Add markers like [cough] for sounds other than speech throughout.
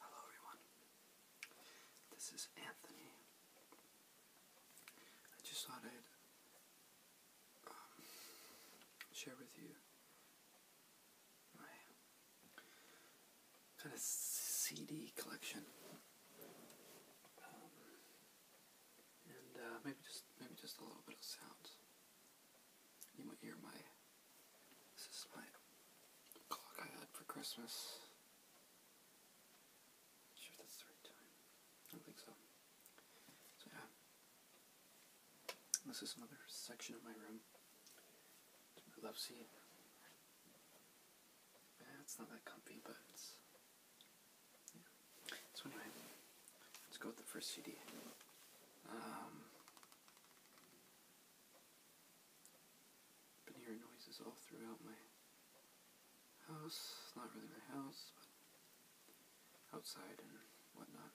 Hello everyone. This is Anthony. I just thought I'd um, share with you my kind of CD collection, um, and uh, maybe just maybe just a little bit of sound. You might hear my this is my clock I had for Christmas. sure that's the right time. I think so. yeah. This is another section of my room. It's my love seat. Yeah, it's not that comfy, but yeah. So anyway, let's go with the first CD. Um, I've been hearing noises all throughout my house. not really my house, but outside and whatnot.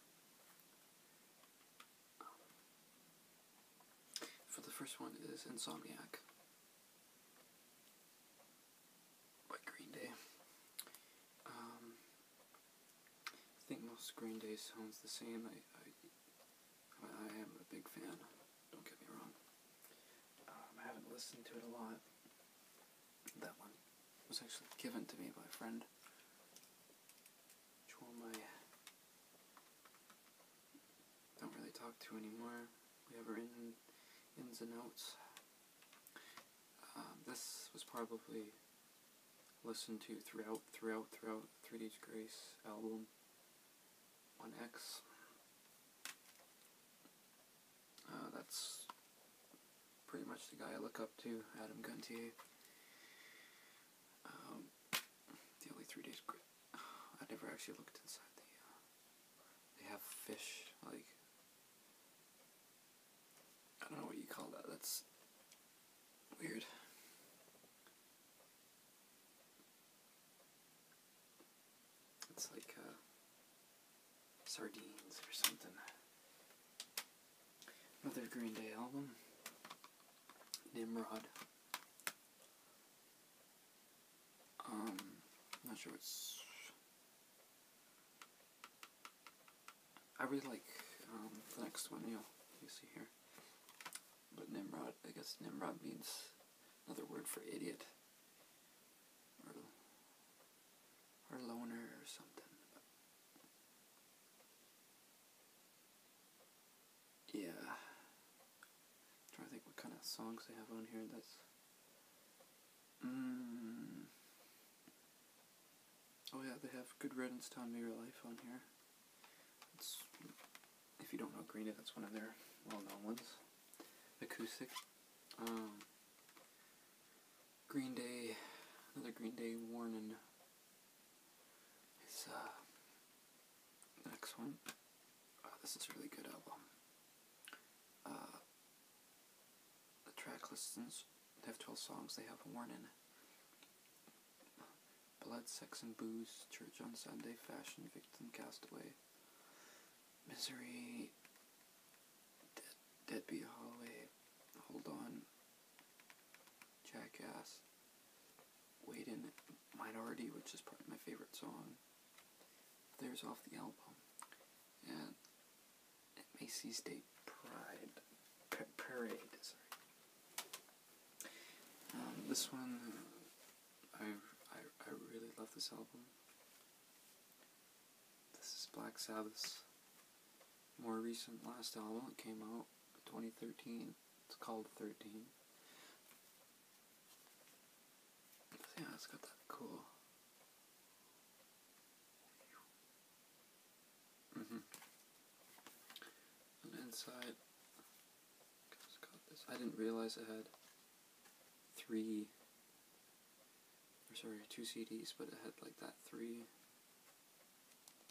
for the first one is Insomniac by Green Day. Um, I think most Green Day sounds the same. I I am a big fan, don't get me wrong. Um, I haven't listened to it a lot. That one was actually given to me by a friend. Which I don't really talk to anymore. We have our ins and outs. Um, this was probably Listen to throughout, throughout, throughout Three Days Grace album on X. Uh, that's pretty much the guy I look up to, Adam Guntier. Um, the only Three Days [sighs] I never actually looked inside the. Uh, they have fish like. I don't know what you call that. That's weird. It's like uh, sardines or something. Another Green Day album, Nimrod. Um, not sure what's. I really like um, the next one. You know, you see here. But Nimrod, I guess Nimrod means another word for idiot. Or, loner or something. yeah. Try to think what kind of songs they have on here that's mm. Oh yeah, they have Good Riddance Time Your Life on here if you don't know Green Day, that's one of their well-known ones. Acoustic. Um, Green Day, another Green Day warning. It's uh, the next one. Uh, this is a really good album. Uh, the track listens. They have 12 songs. They have a warning. Blood, sex, and booze. Church on Sunday. Fashion, victim, castaway. Misery. deadbeat Holloway. Hold on. Jackass. Waiting. Minority, which is probably my favorite song. There's off the album. And Macy's Day Pride. parade, sorry. Um, this one, I, I, I really love this album. This is Black Sabbath's more recent last album. It came out 2013. It's called 13. Yeah, it's got that cool Mm -hmm. And inside, I didn't realize it had three, or sorry, two CDs, but it had like that three.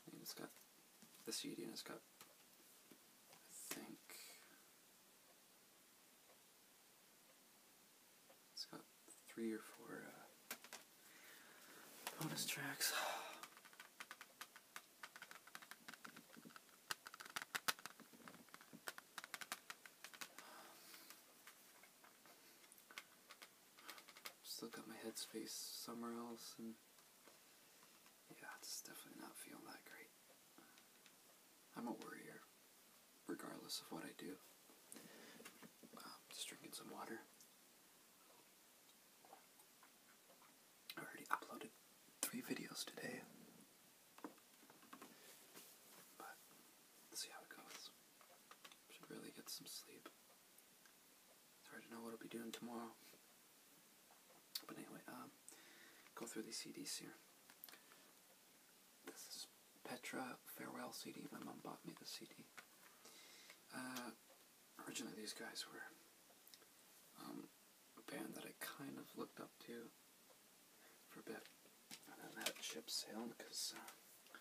And it's got the CD and it's got, I think, it's got three or four uh, Bonus tracks. Still got my headspace somewhere else, and yeah, it's definitely not feeling that great. I'm a worrier, regardless of what I do. Uh, just drinking some water. I already uploaded three videos today. But see how it goes. Should really get some sleep. It's hard to know what I'll be doing tomorrow. But anyway, um, go through the CDs here. This is Petra Farewell CD. My mom bought me the CD. Uh, originally these guys were um, a band that I kind of looked up to for a bit, and then that ship sailed because uh,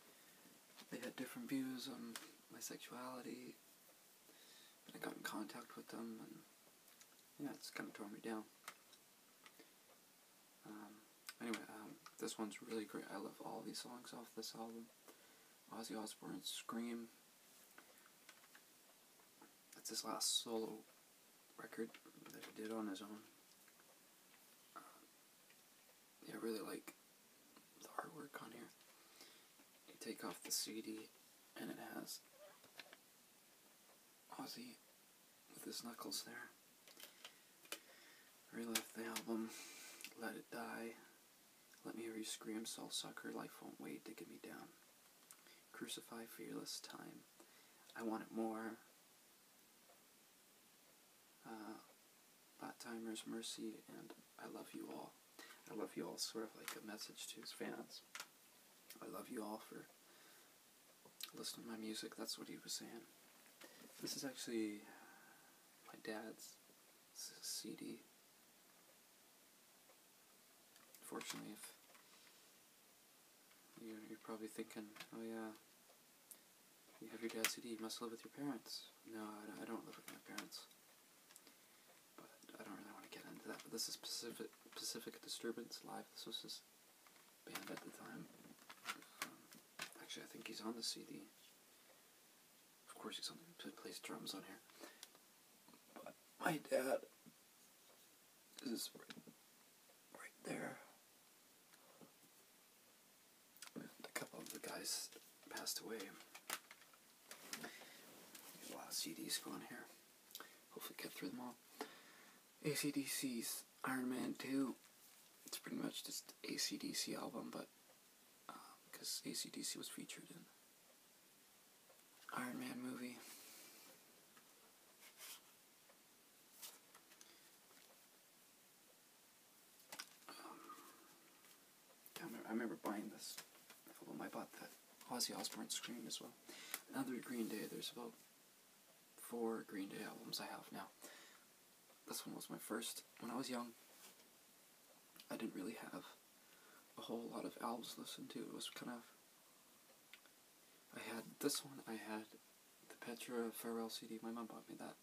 they had different views on my sexuality. And I got in contact with them, and yeah, it's kind of tore me down. Um, anyway, um, this one's really great. I love all these songs off this album. Ozzy Osbourne Scream. That's his last solo record that he did on his own. Uh, I really like the artwork on here. You take off the CD and it has Ozzy with his knuckles there. I really love the album Let It Die. Let me hear you scream soul-sucker, life won't wait to get me down. Crucify fearless time. I want it more. Uh, Bot Timers, Mercy, and I love you all. I love you all, sort of like a message to his fans. I love you all for listening to my music. That's what he was saying. This is actually my dad's CD. Fortunately, you're, probably thinking, oh yeah, you have your dad's CD, you must live with your parents. No, I, don't live with my parents. But I don't really want to get into that. But this is Pacific, Pacific Disturbance Live. This was his band at the time. Um, actually, I think he's on the CD. Of course, he's on the, place drums on here. But my dad is right, right there. a couple of the guys passed away. There's a lot of CDs going here. Hopefully, get through them all. ACDC's Iron Man 2. It's pretty much just ACDC album, but because um, ACDC was featured in Iron Man movie. Um, I remember buying this album. I bought that Ozzy Osbourne Scream as well. Another Green Day. There's about four Green Day albums I have now. This one was my first. When I was young, I didn't really have a whole lot of albums to to. It was kind of. I had this one, I had the Petra Farewell CD. My mom bought me that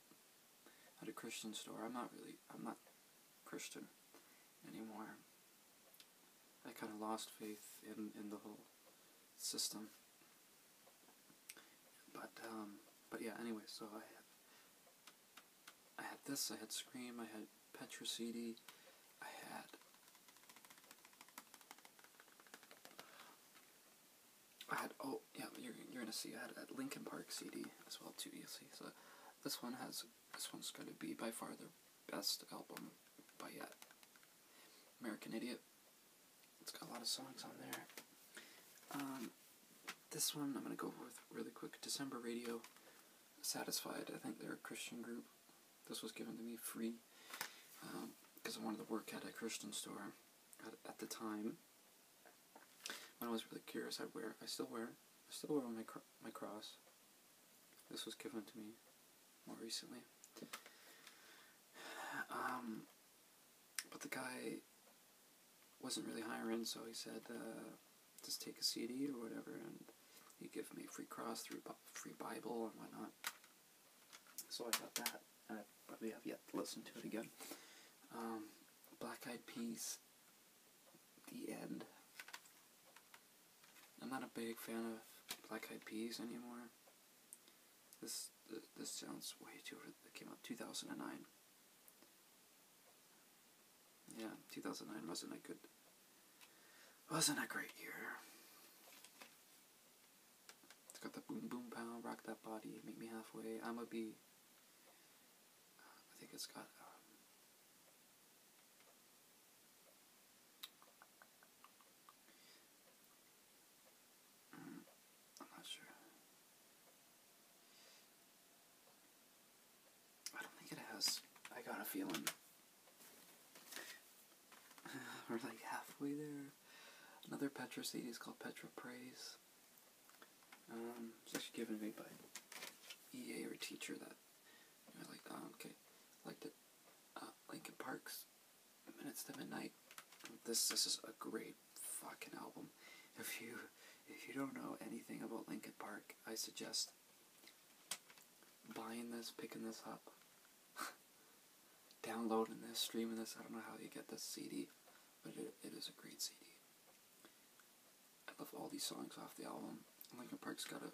at a Christian store. I'm not really, I'm not Christian anymore. I kind of lost faith in, in the whole system. But, um, but yeah, anyway, so I have I had this, I had Scream, I had Petra CD, I had. I had, oh, yeah, you're, you're gonna see, I had Lincoln Park CD as well, too, you'll see. So this one has, this one's gonna be by far their best album by yet. American Idiot. It's got a lot of songs on there. Um, this one I'm going to go with really quick. December Radio Satisfied. I think they're a Christian group. This was given to me free because um, I wanted to work at a Christian store at, the time. When I was really curious, I wear. I still wear. I still wear my my cross. This was given to me more recently. [sighs] Um, but the guy wasn't really hiring, so he said, uh, just take a CD or whatever, and he gave me free cross, free Bible, and whatnot. So I got that, and I probably have yet to listen to it again. Um, Black Eyed Peas, The End. I'm not a big fan of Black Eyed Peas anymore. This this sounds way too. It came out 2009. Yeah, 2009 wasn't a good, wasn't a great year. It's got the boom boom pound, rock that body, make me halfway. I'ma be. I think it's got. Um, mm, I'm not sure. I don't think it has. I got a feeling. [sighs] We're like halfway there. Another Petra CD is called Petra Praise. Um, it's actually given to me by EA or teacher that I you like. Oh, okay, liked it. Uh, Lincoln Parks, Minutes to Midnight. This this is a great fucking album. If you if you don't know anything about Linkin Park, I suggest buying this, picking this up, [laughs] downloading this, streaming this. I don't know how you get this CD, but it is a great CD. I love all these songs off the album. Linkin Park's got a,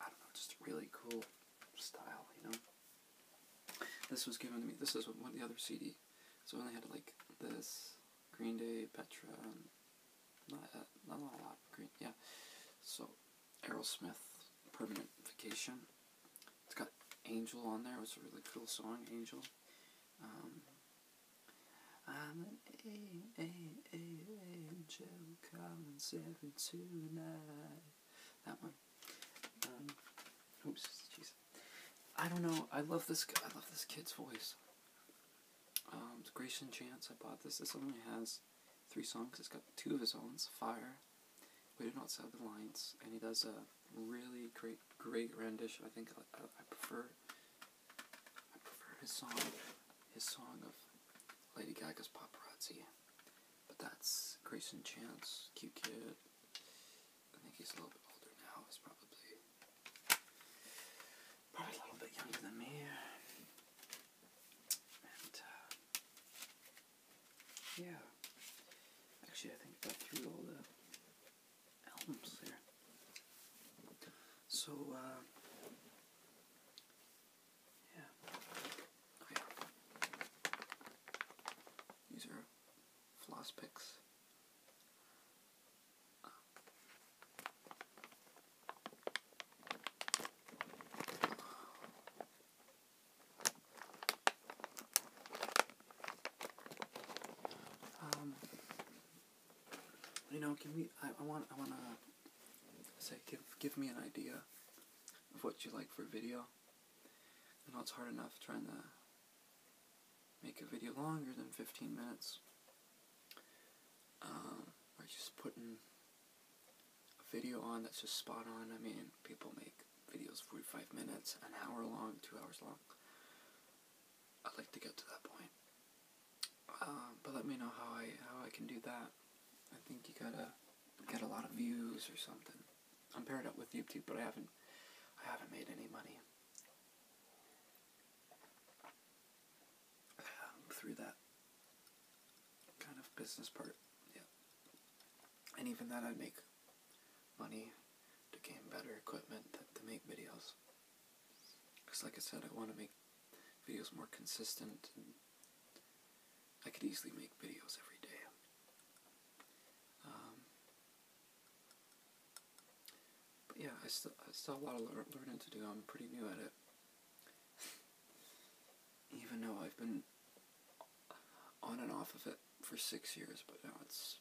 I don't know, just a really cool style, you know? This was given to me, this is one the other CD, so I only had like this, Green Day, Petra, not, uh, not a lot, Green, yeah. So, Aerosmith, Permanent Vacation. It's got Angel on there, it was a really cool song, Angel. Um, an a, a, a, angel, come and save me tonight. That one. Um, oops, Jesus. I don't know. I love this. I love this kid's voice. Um, Grecian Chance. I bought this. This only has three songs. It's got two of his own. Fire. We do not have the lines, and he does a really great, great rendition. I think I, I prefer. I prefer his song. His song of Lady Gaga's Paparazzi. But that's Grayson Chance, cute kid. I think he's a little bit older now. He's probably probably a little bit younger than me. Uh, yeah, actually, I think I got through all the albums there. So uh, yeah, these are floss picks. Um, you know, can we? I, I want. I want to say, give give me an idea of what you like for video. You know, it's hard enough trying to make a video longer than 15 minutes. Um, or just putting a video on that's just spot on. I mean, people make videos 45 minutes, an hour long, two hours long. I'd like to get to that point. Uh, but let me know how I how I can do that. I think you gotta get a lot of views or something. I'm paired up with YouTube, but I haven't I haven't made any money. Um, through that kind of business part. Yeah. And even then, I'd make money to gain better equipment to, make videos. Because like I said, I want to make videos more consistent. I could easily make videos every day. Um, yeah, I still, I still have a lot of learning to do. I'm pretty new at it. Even though I've been on and off of it for six years, but now it's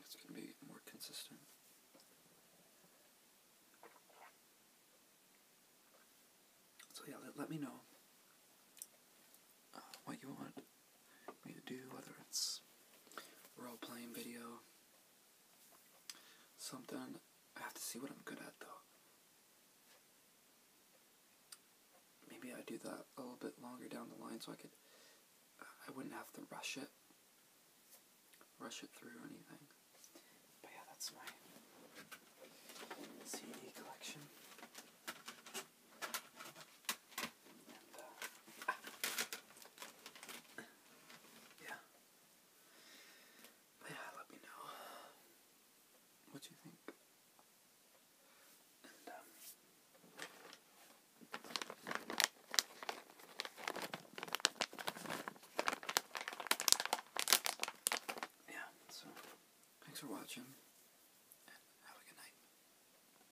it's going to be more consistent. So yeah, let, me know uh, what you want me to do, whether it's role playing video, something. I have to see what I'm good at though. Maybe I do that a little bit longer down the line so I could, I wouldn't have to rush it, rush it through or anything. But yeah, that's my CD collection. Uh, ah. Yeah. yeah, let me know what you think. Um, yeah, so thanks for watching and have a good night.